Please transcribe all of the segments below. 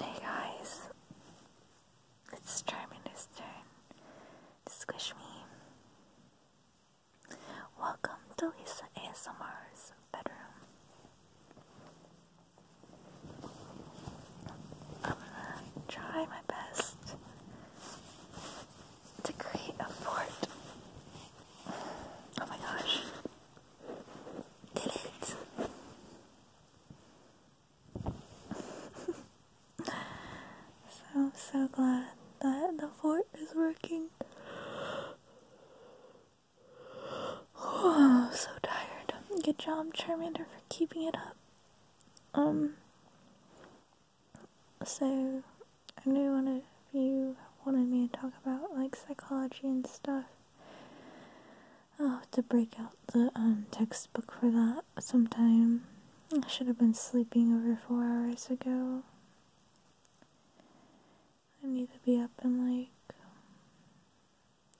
Hey guys, it's Charmander's turn to squish me. Welcome to his ASMR's bedroom. I'm gonna try my best to create a fort. Oh my gosh, did it. so so glad that the fort is working. Oh, I'm so tired. Good job, Charmander, for keeping it up. Um, so I know one of you wanted me to talk about like psychology and stuff. I'll have to break out the um, textbook for that sometime. I should have been sleeping over four hours ago. I need to be up in like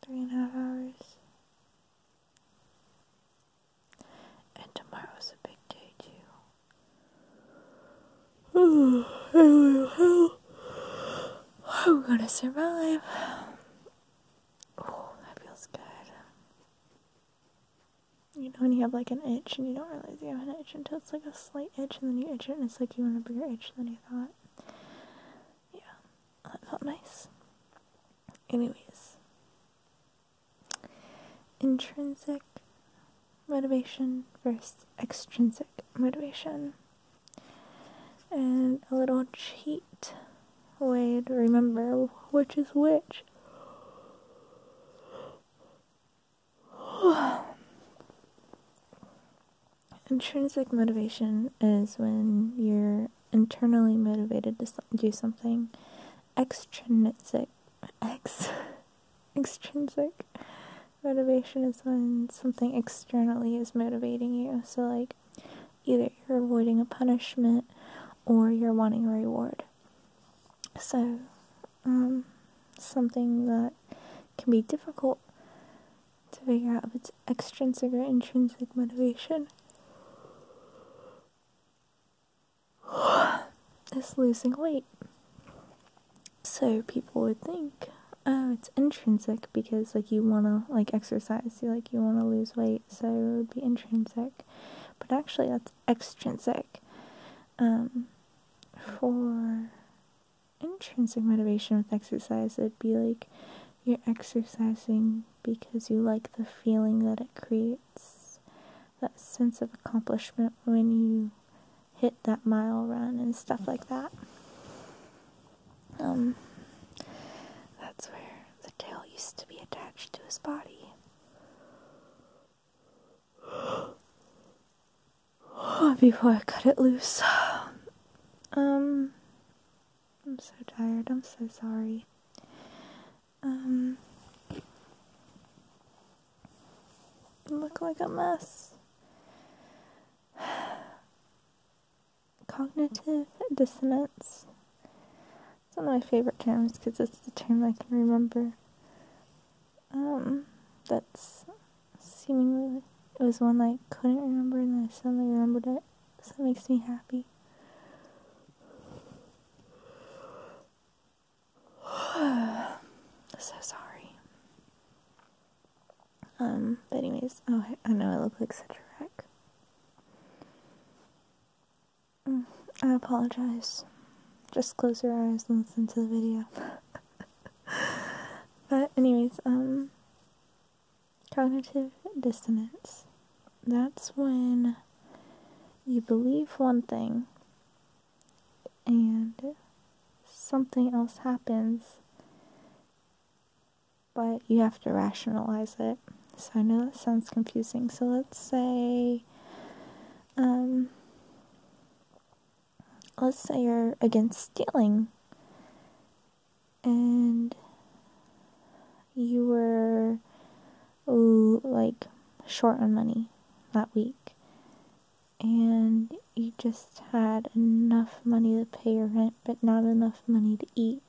three and a half hours. And tomorrow's a big day too. I'm gonna survive. Oh, that feels good. You know when you have like an itch and you don't realize you have an itch until it's like a slight itch and then you itch it and it's like you want a bigger itch than you thought. Yeah, that felt nice. Anyways, intrinsic motivation versus extrinsic motivation. And a little cheat way to remember which is which. Intrinsic motivation is when you're internally motivated to do something extrinsic ex extrinsic motivation is when something externally is motivating you. So like either you're avoiding a punishment or you're wanting a reward. So um something that can be difficult to figure out if it's extrinsic or intrinsic motivation is losing weight. So people would think, oh, it's intrinsic because like you want to like exercise, you like you want to lose weight, so it would be intrinsic. But actually, that's extrinsic. Um, for intrinsic motivation with exercise, it'd be like you're exercising because you like the feeling that it creates, that sense of accomplishment when you hit that mile run and stuff like that. Um, that's where the tail used to be attached to his body. Before I cut it loose. Um, I'm so tired. I'm so sorry um, look like a mess. Cognitive dissonance. It's one of my favorite terms because it's the term I can remember. Um, that's seemingly it was one I couldn't remember and I suddenly remembered it because makes me happy. so sorry. Um, but anyways, oh, I know I look like such a wreck. Mm, I apologize. Just close your eyes and listen to the video. but anyways, um, cognitive dissonance. That's when you believe one thing and something else happens, but you have to rationalize it. So I know that sounds confusing. So let's say, um, let's say you're against stealing, and you were like short on money that week and you just had enough money to pay your rent but not enough money to eat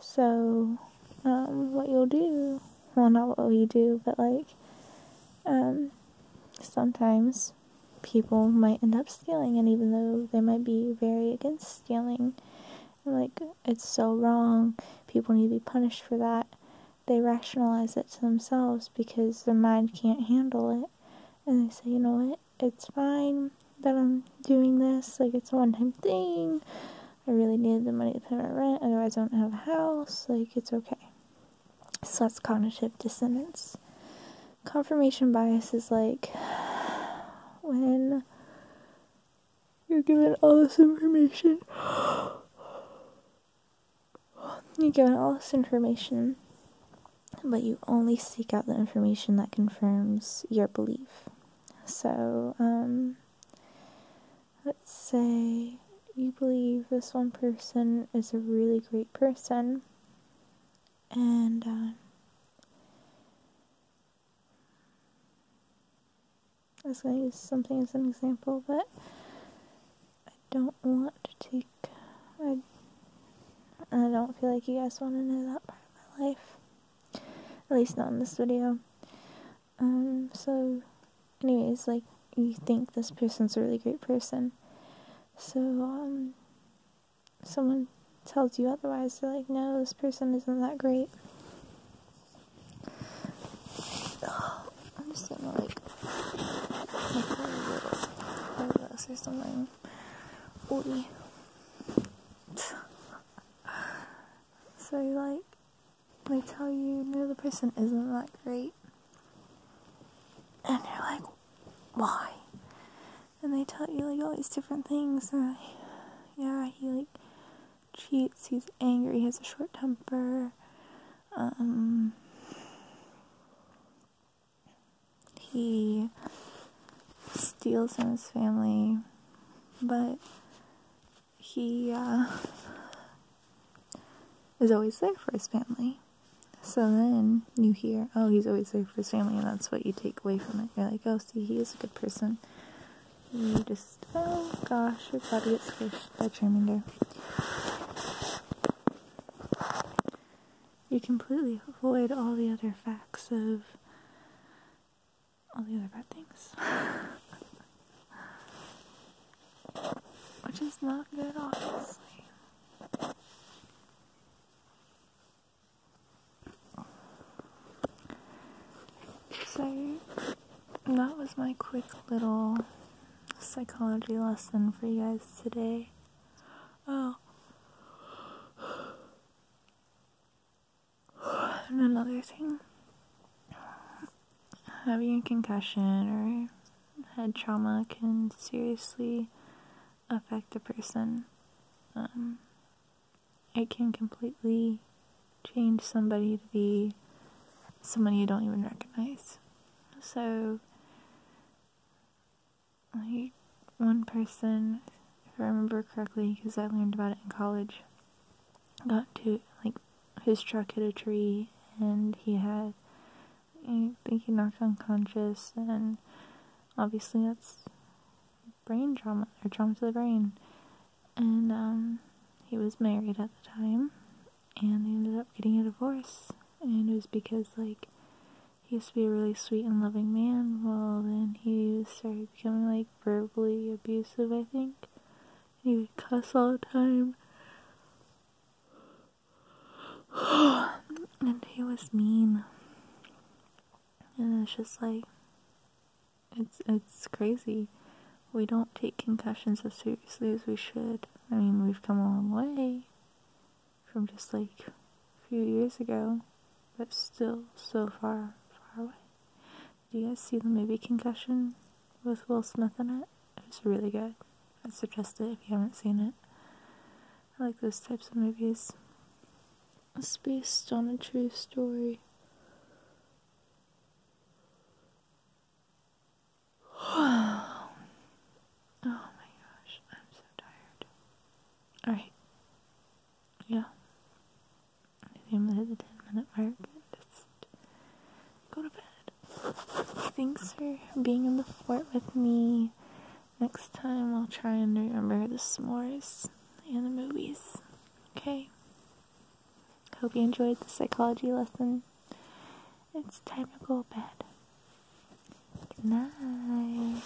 so um, what you'll do well not what you do but like um, sometimes people might end up stealing and even though they might be very against stealing. like, it's so wrong. People need to be punished for that. They rationalize it to themselves because their mind can't handle it. And they say, you know what? It's fine that I'm doing this. Like, it's a one time thing. I really needed the money to pay my rent, otherwise, I don't have a house. Like, it's okay. So that's cognitive dissonance confirmation bias is like when you're given all this information. You're given all this information, but you only seek out the information that confirms your belief. So, um, let's say you believe this one person is a really great person, and uh, I was going to use something as an example, but I don't want to take. I, I don't feel like you guys want to know that part of my life. At least not in this video. Um, so, anyways, like, you think this person's a really great person. So, um, someone tells you otherwise, they're like, no, this person isn't that great. I'm just gonna like take something. Ooh. so like they tell you no the person isn't that great and you're like, why? And they tell you like all these different things. yeah, he like cheats. He's angry. He has a short temper. Um, he steals from his family, but he uh, is always there for his family. So then you hear, oh, he's always there for his family, and that's what you take away from it. You're like, oh, see, he is a good person. You just, oh gosh, your body gets squished by Charmander. You completely avoid all the other facts of all the other bad things. Which is not good, obviously. So, that was my quick little psychology lesson for you guys today. Oh. And another thing having a concussion or head trauma can seriously affect a person. Um, it can completely change somebody to be someone you don't even recognize. So, like, one person, if I remember correctly, because I learned about it in college, got to like his truck hit a tree and he had I think he knocked unconscious and obviously that's brain trauma or trauma to the brain. And um he was married at the time and they ended up getting a divorce and it was because like he used to be a really sweet and loving man well then he started becoming like verbally abusive I think he would cuss all the time. and he was mean. And it's just like it's it's crazy. We don't take concussions as seriously as we should. I mean, we've come a long way from just like a few years ago, but still so far far away. Do you guys see the movie Concussion with Will Smith in it? It's really good. I suggest it if you haven't seen it. I like those types of movies. It's based on a true story. oh my gosh, I'm so tired. Alright. Yeah if you hit a 10 minute mark, just go to bed. Thanks for being in the fort with me. Next time I'll try and remember the s'mores and the movies. Okay? Hope you enjoyed the psychology lesson. It's time to go to bed. Good night.